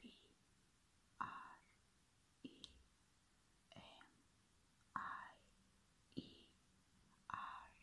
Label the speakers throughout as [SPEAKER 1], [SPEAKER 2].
[SPEAKER 1] P R E M I E R E.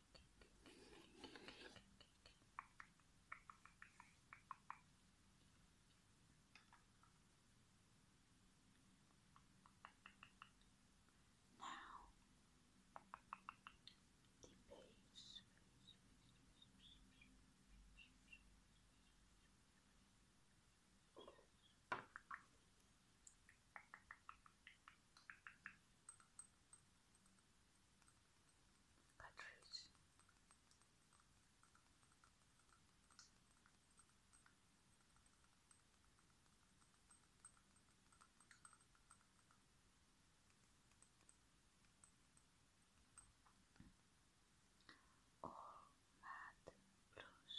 [SPEAKER 1] Now the base cartridge. All oh, matte blush.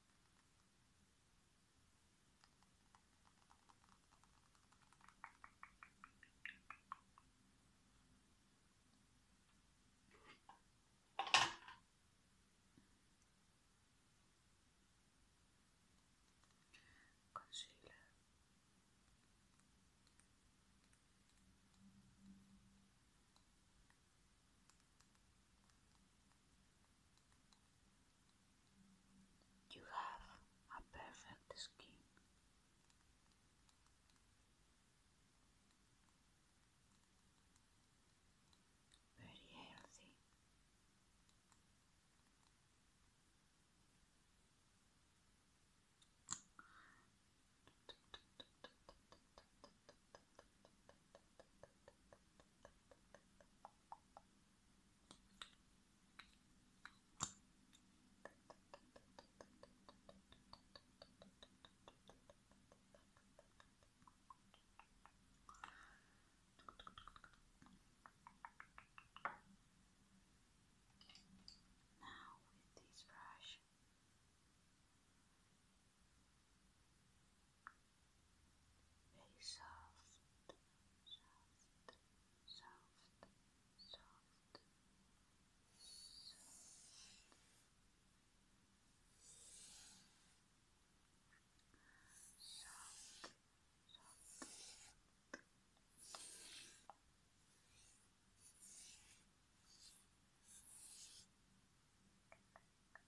[SPEAKER 1] Concealer. You have a perfect skin. Very healthy. Now with this brush. I very soft, soft, soft, soft, soft, soft. soft.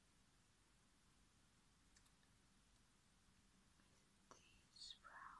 [SPEAKER 1] these brown these ones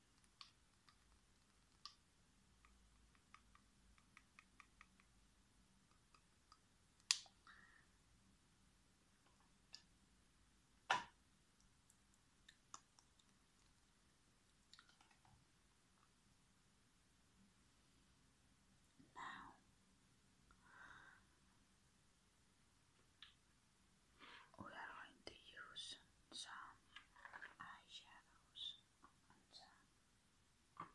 [SPEAKER 1] Now, we are going to use some eyeshadows and uh,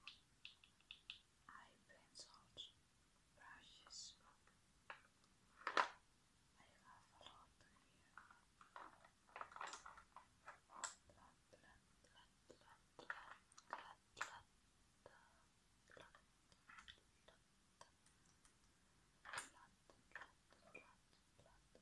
[SPEAKER 1] eye pencils, brushes. I have a here. Blood, blood, blood, blood, blood, blood, blood, blood, blood, blood, blood, blood, blood,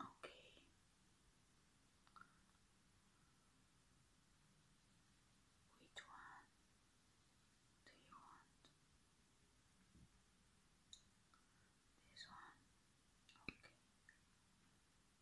[SPEAKER 1] Okay. Which one do you want? This one. Okay.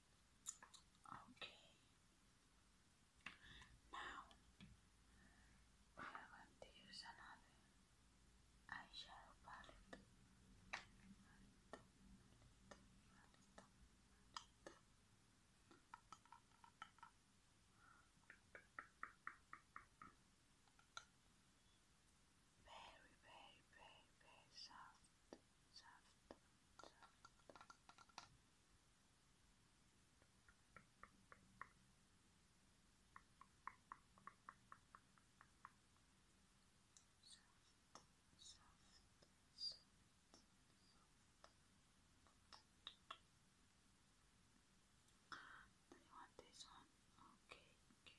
[SPEAKER 1] Okay. Now we are going to use another eyeshadow palette. Very, very, very, very soft soft, soft. Soft, soft, soft, soft. Do you want this one? Okay, okay.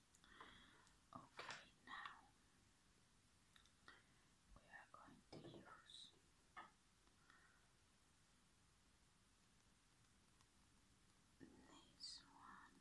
[SPEAKER 1] Okay, now we are going to use this one.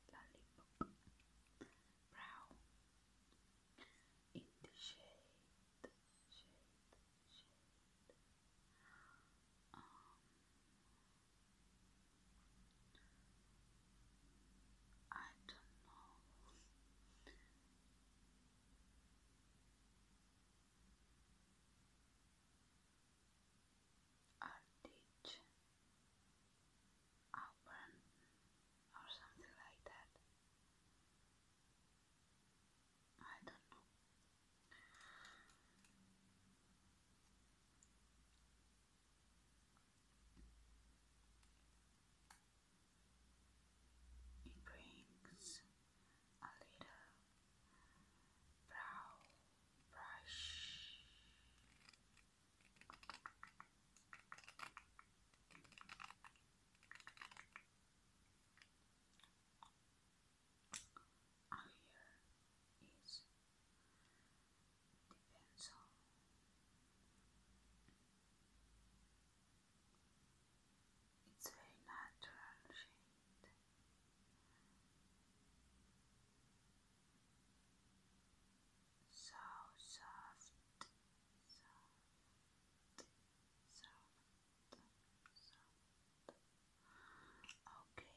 [SPEAKER 1] Lollipop Brow in the shade, I don't know Artich open or something like that. I don't know. It brings a little brow brush. And here is the pencil. It's very natural shade so soft, soft, soft, soft. Okay.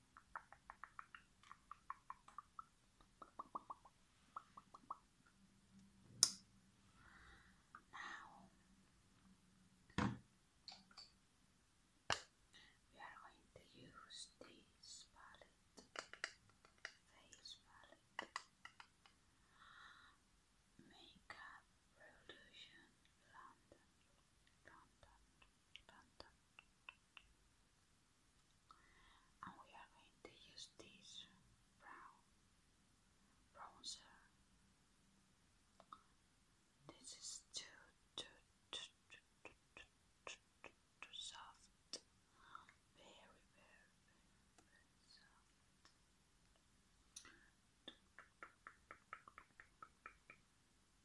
[SPEAKER 1] Now we are going to use this palette, face palette, makeup revolution London, London button and we are going to use this brown bronzer this is too too too too too too, too, too, soft very very very, very soft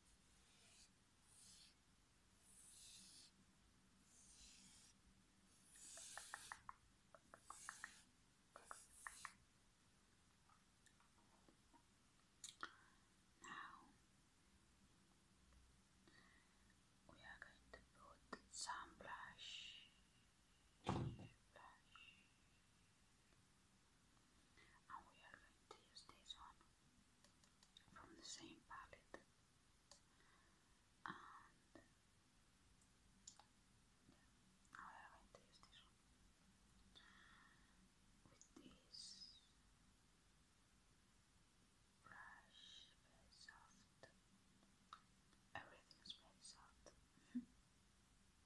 [SPEAKER 1] Now we are going to put some blush, and we are going to use this one from the same palette and we are going to use this one with this brush very soft everything is very soft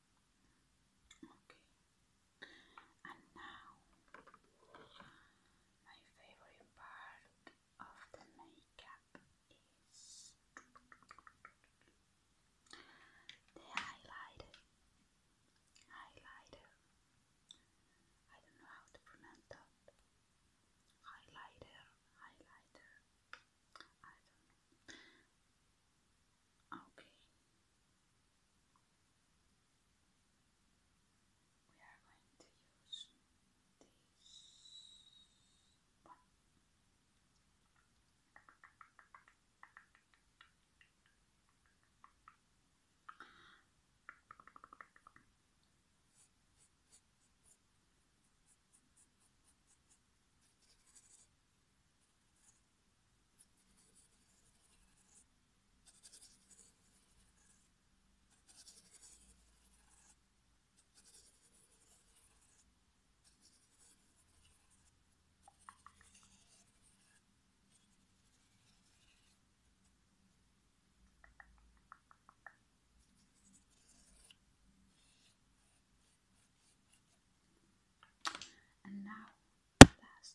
[SPEAKER 1] Okay, and now my favorite part of the makeup is the highlighter. Highlighter. I don't know how to pronounce that. Highlighter, highlighter. I don't know. Okay, we are going to use this and now, last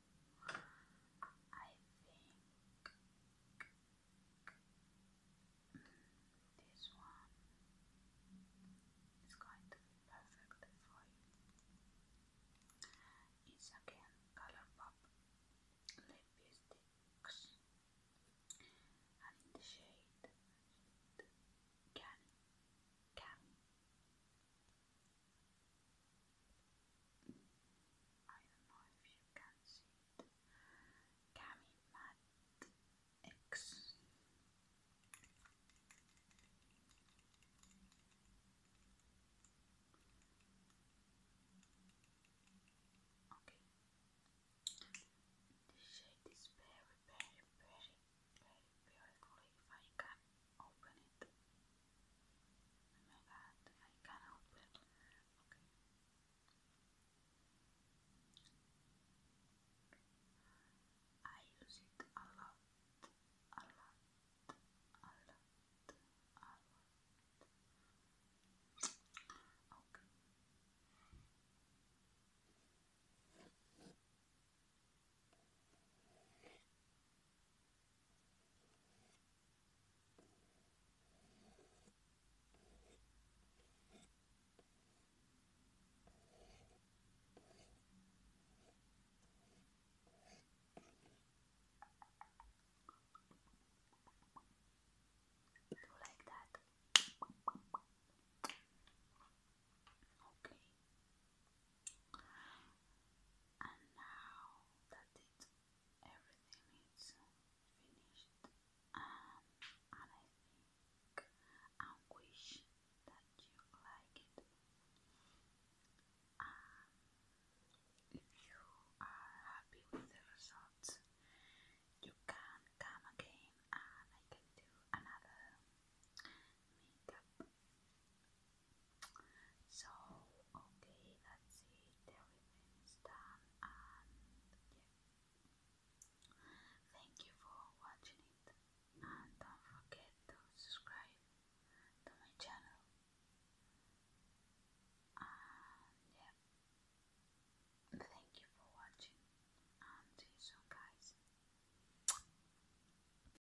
[SPEAKER 1] I think this one is going to be perfect for you. It's again Colourpop lip sticks, and the shade Cami. I don't know if you can see it. Cami X. Okay. This shade is very, very, very, very beautiful if I can open it. Oh my god, I can't open. Okay. I use it a lot, a lot, a lot, a lot. Okay. People like that. Okay. And now that it everything is finished, um, I wish that you like it. Um, if you are happy with the results, you can come again and I can do another makeup so, okay, that's it, everything is done, and yeah. Thank you for watching it, and don't forget to subscribe to my channel. And yeah, thank you for watching, and see you soon, guys.